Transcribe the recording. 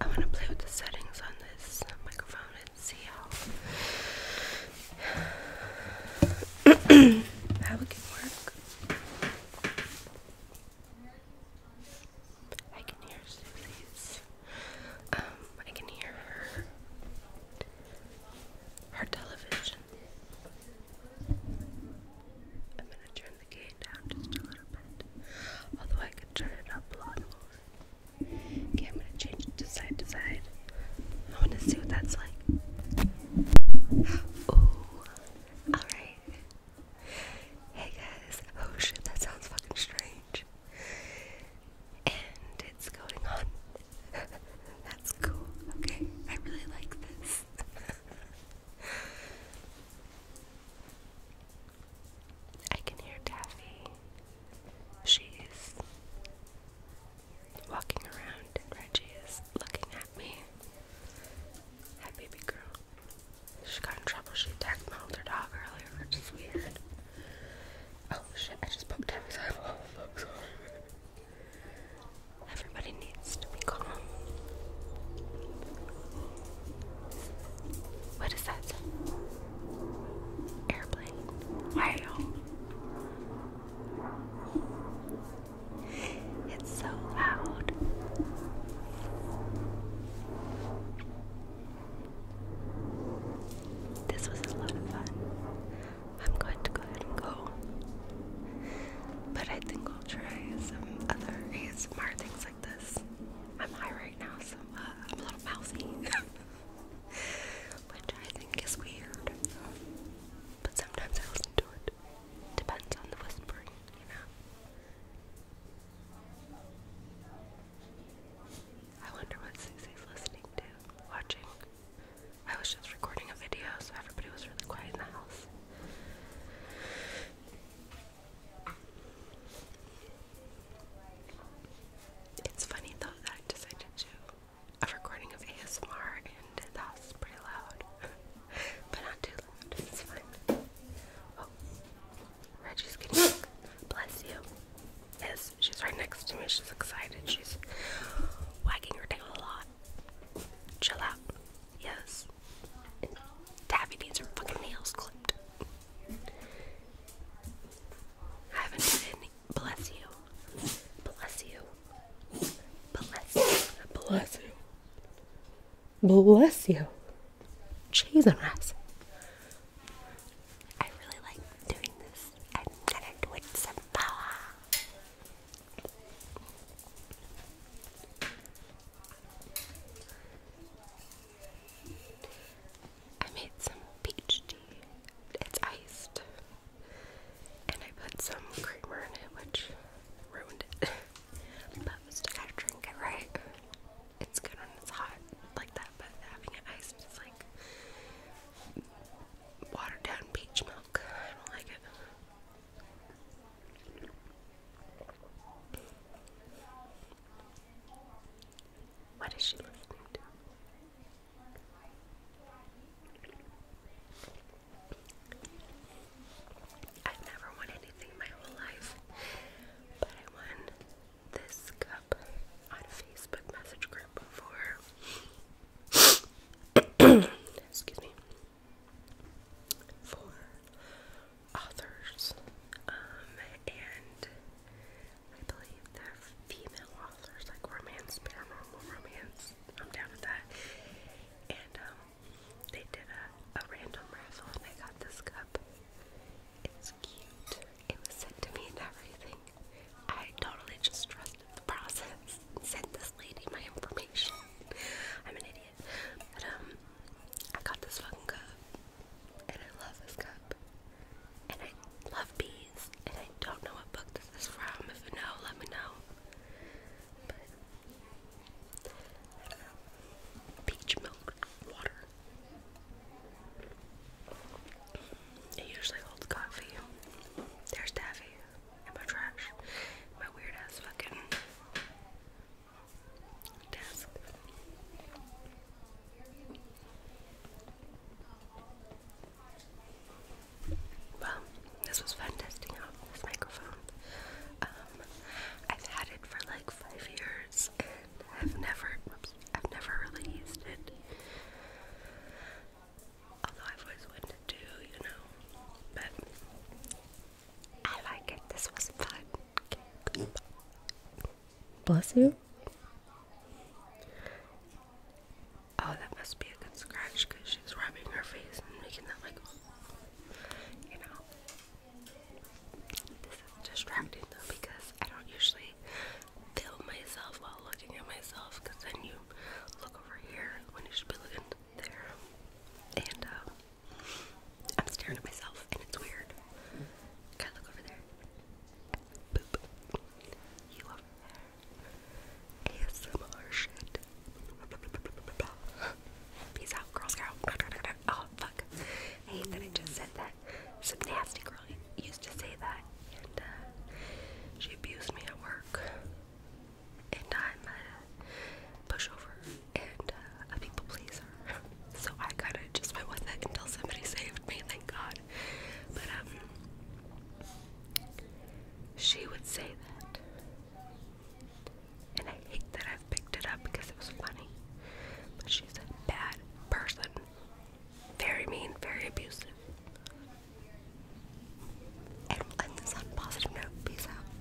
I want to play with the settings on this microphone and see how how it can work. I can hear Susie's. Um, I can hear her her television. I'm gonna turn the gain down just a little bit, although I could turn it up a lot more. Okay, I'm gonna change it to side to side. I wanna see what that's like. Oh, alright. Hey guys, oh shit, that sounds fucking strange. And it's going on. That's cool. Okay, I really like this. I can hear Taffy. She's walking around. and Reggie is looking at me. Hi, baby girl. She got in trouble. She attacked my older dog earlier, which is weird. Oh shit, I just poked Taffy's eyeball. I'm sorry. Everybody needs to be calm. What is that? Airplane. Wow. It's so loud. This was a lot of fun. I'm going to go ahead and go. But I think I'll try some other ASMR things this. I'm high right now, so uh, I'm a little mousy, which I think is weird. But sometimes I listen to it. Depends on the whispering, you know. I wonder what Susie's listening to, watching. I was just recording a video, so everybody was really quiet in the house. It's funny though that I decided to a recording of ASMR and that's pretty loud. but not too loud. It's fine. Oh. Reggie's getting sick. Bless you. Yes, she's right next to me. She's excited. She's wagging her tail a lot. Chill out. Yes. Taffy needs her fucking nails clipped. I haven't done any. Bless you. Bless you. Bless Bless you. Bless you. Cheese I really like doing this. I'm gonna do it some power. I made some peach tea. It's iced. And I put some creamer in it, which ruined it. but we gotta drink it, right? It's good when it's hot like that, but having it iced is like watered down peach milk. I don't like it. What is she listening to? I've never won anything my whole life, but I won this cup on a Facebook message group for. excuse me. For authors, um, and I believe they're female authors, like romance, paranormal romance. I'm down with that. And um, they did a, a random raffle, and I got this cup. It's cute. It was sent to me and everything. I totally just trusted the process. Sent this lady my information. I'm an idiot it. But um, I got this fucking cup, and I love this cup, and I love bees, and I don't know what book this is from. If you know, let me know. Peach milk water. It usually holds coffee. There's Daffy and my trash. My weird ass fucking well, this was fun testing out this microphone. Um, I've had it for like five years, and I've never, whoops, I've never really used it. Although I've always wanted to, you know. But I like it. This was fun. Bless you. Oh, that must be a good scratch she's rubbing her face and making that like, you know. This is distracting though because I don't usually film myself while looking at myself then you look over here when you should be looking there. And um, I'm staring at myself and it's weird. Can I look over there? Boop. You over there. ASMR shit. Peace out, Girl Scout. Oh, fuck. I I just said that. Some nasty girl used to say that, and uh, she abused me at work. And I'm pushover, and uh, a people pleaser. So I kind of just went with it until somebody saved me, thank God. But um, she would say that, and I hate that i picked it up because it was funny. But she's a bad person, very mean, very abusive. And we'll on positive note. Peace out.